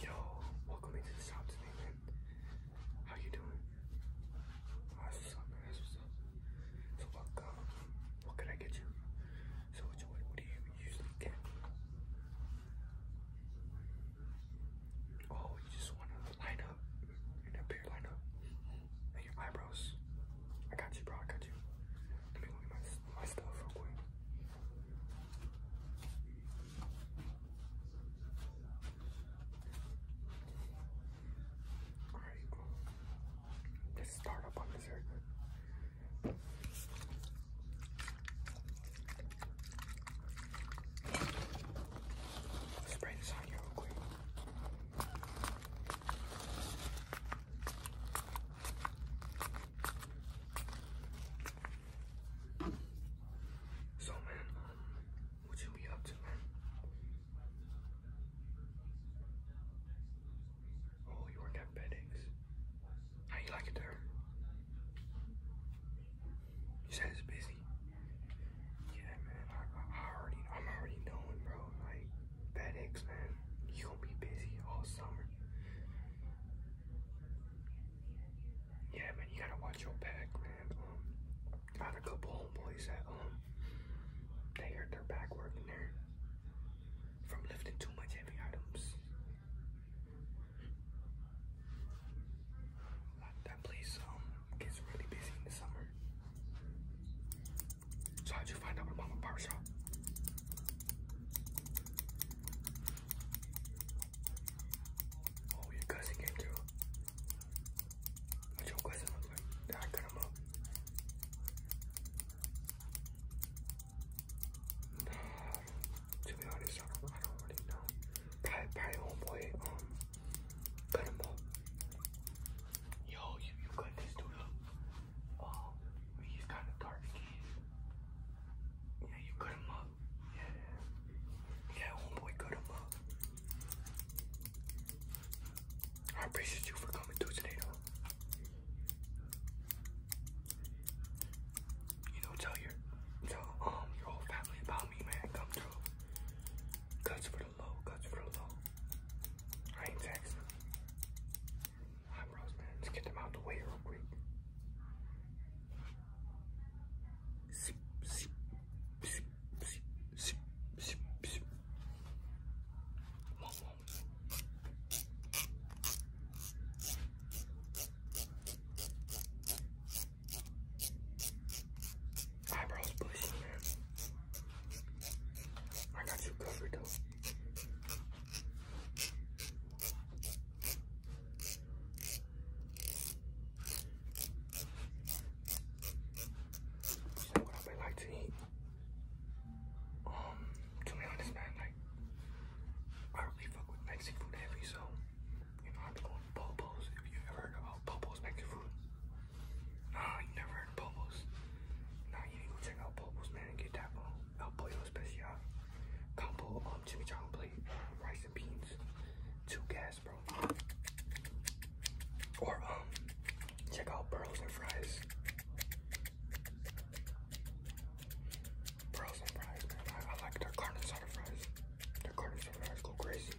Yo, welcome into the shop today, man. How you doing? Oh, that's what's up, man. So what, uh, what can I get you? So what, what, what do you usually get? Oh, you just want to line up and up here, line up and your eyebrows. I got you, bro. I got you. Let me my stuff real quick. All right, let's start up on this haircut. Spray this on you real quick. So man, um, what you be up to, Oh, you work at Beddings. How like it there? You said it's busy. Yeah, man. I, I, already, I'm already knowing, bro. Like, FedEx, man. You gonna be busy all summer. Yeah, man, you gotta watch your back, man. Um, I a couple homeboys that um, they hurt their back working there from lifting too much heavy items. That place um gets really busy in the summer. So how'd you find out what mama barber Oh, your cousin came through. What's your cousin look I cut him up. to be honest, I don't, really know. Probably, probably homeboy, um, cut him up. Yo, you, you cut this dude up. Oh, he's got a Yeah, you cut him up. Yeah. Yeah, homeboy cut him up. I appreciate you for coming through today, though. You know, tell your, tell um your whole family about me, man. Come through. Cuts for the low, cuts for the low. I ain't texting eyebrows, man. Let's get them out the way real quick. Zip, zip, zip, zip, zip, zip, zip. Come Eyebrows pushing, man. I got you covered though what I like to eat? Um, to be honest, man, like I really fuck with Mexican food heavy, so you know I have to go If you ever heard about Popos Mexican food, nah, you never heard of Bobos. Now you need to go check out Bobos, man, and get that um, El Pollo Especial combo um, chimichanga plate, rice and beans, two gas, bro. Or um, check out Burls and Fries. Burls and Fries, man. I, I like their carne asada fries. Their carne asada fries go crazy.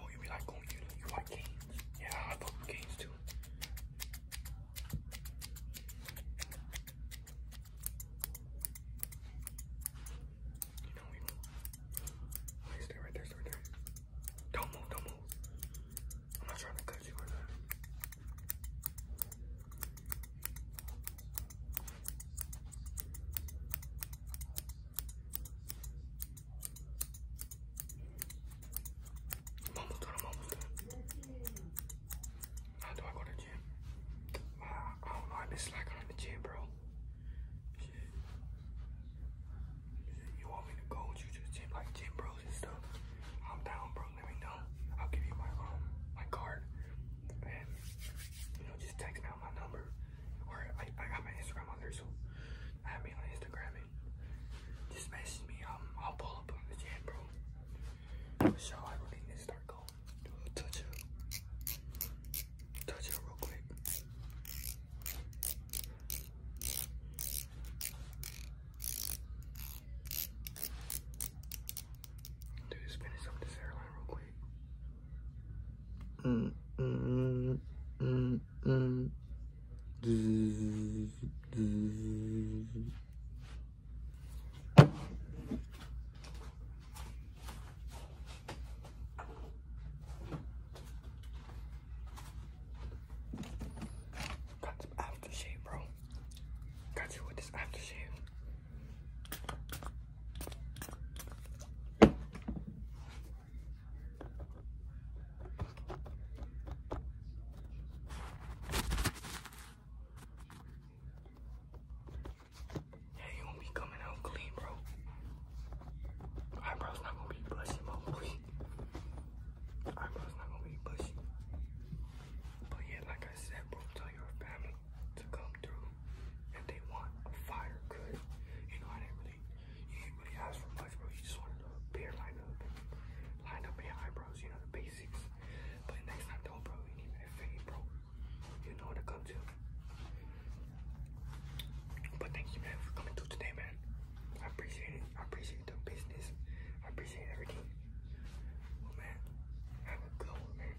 Oh, you like going oh, you, you like games? Yeah, I fuck with too. You know, you stay right there, stay right there. Don't move, don't move. I'm not trying to cut you or nothing. I'm almost done, I'm almost done. How do I go to the gym? I, I don't know, I've been slacking on the gym, bro. Shit. Shit. You want me to go with you to the gym, like gym bros and stuff? I'm down, bro, let me know. I'll give you my, um, my card. And, you know, just text me out my number. Or I, I got my Instagram on there, so add me on Instagram and just message me. Um, I'll pull up on the jam, bro. So I really need to start going. Touch it, touch it real quick. Dude, just finish up this airline real quick. Mm, mm, mm, mm. Got some aftershave, bro. Got you with this aftershave. Yeah, you won't not be coming out clean, bro. Eyebrows going to be bushy, bro. gonna But yeah, like I said, tell your family come come they want a fire good. You know, I didn't really, you didn't really ask for much, bro. You just wanted a beer line up line up your eyebrows, you know, the basics. But next time, don't, bro. You need that fade, bro. You know what to come to. But thank you, man, for coming through today, man. I appreciate it. I appreciate the business. I appreciate everything. man, have a good one, man.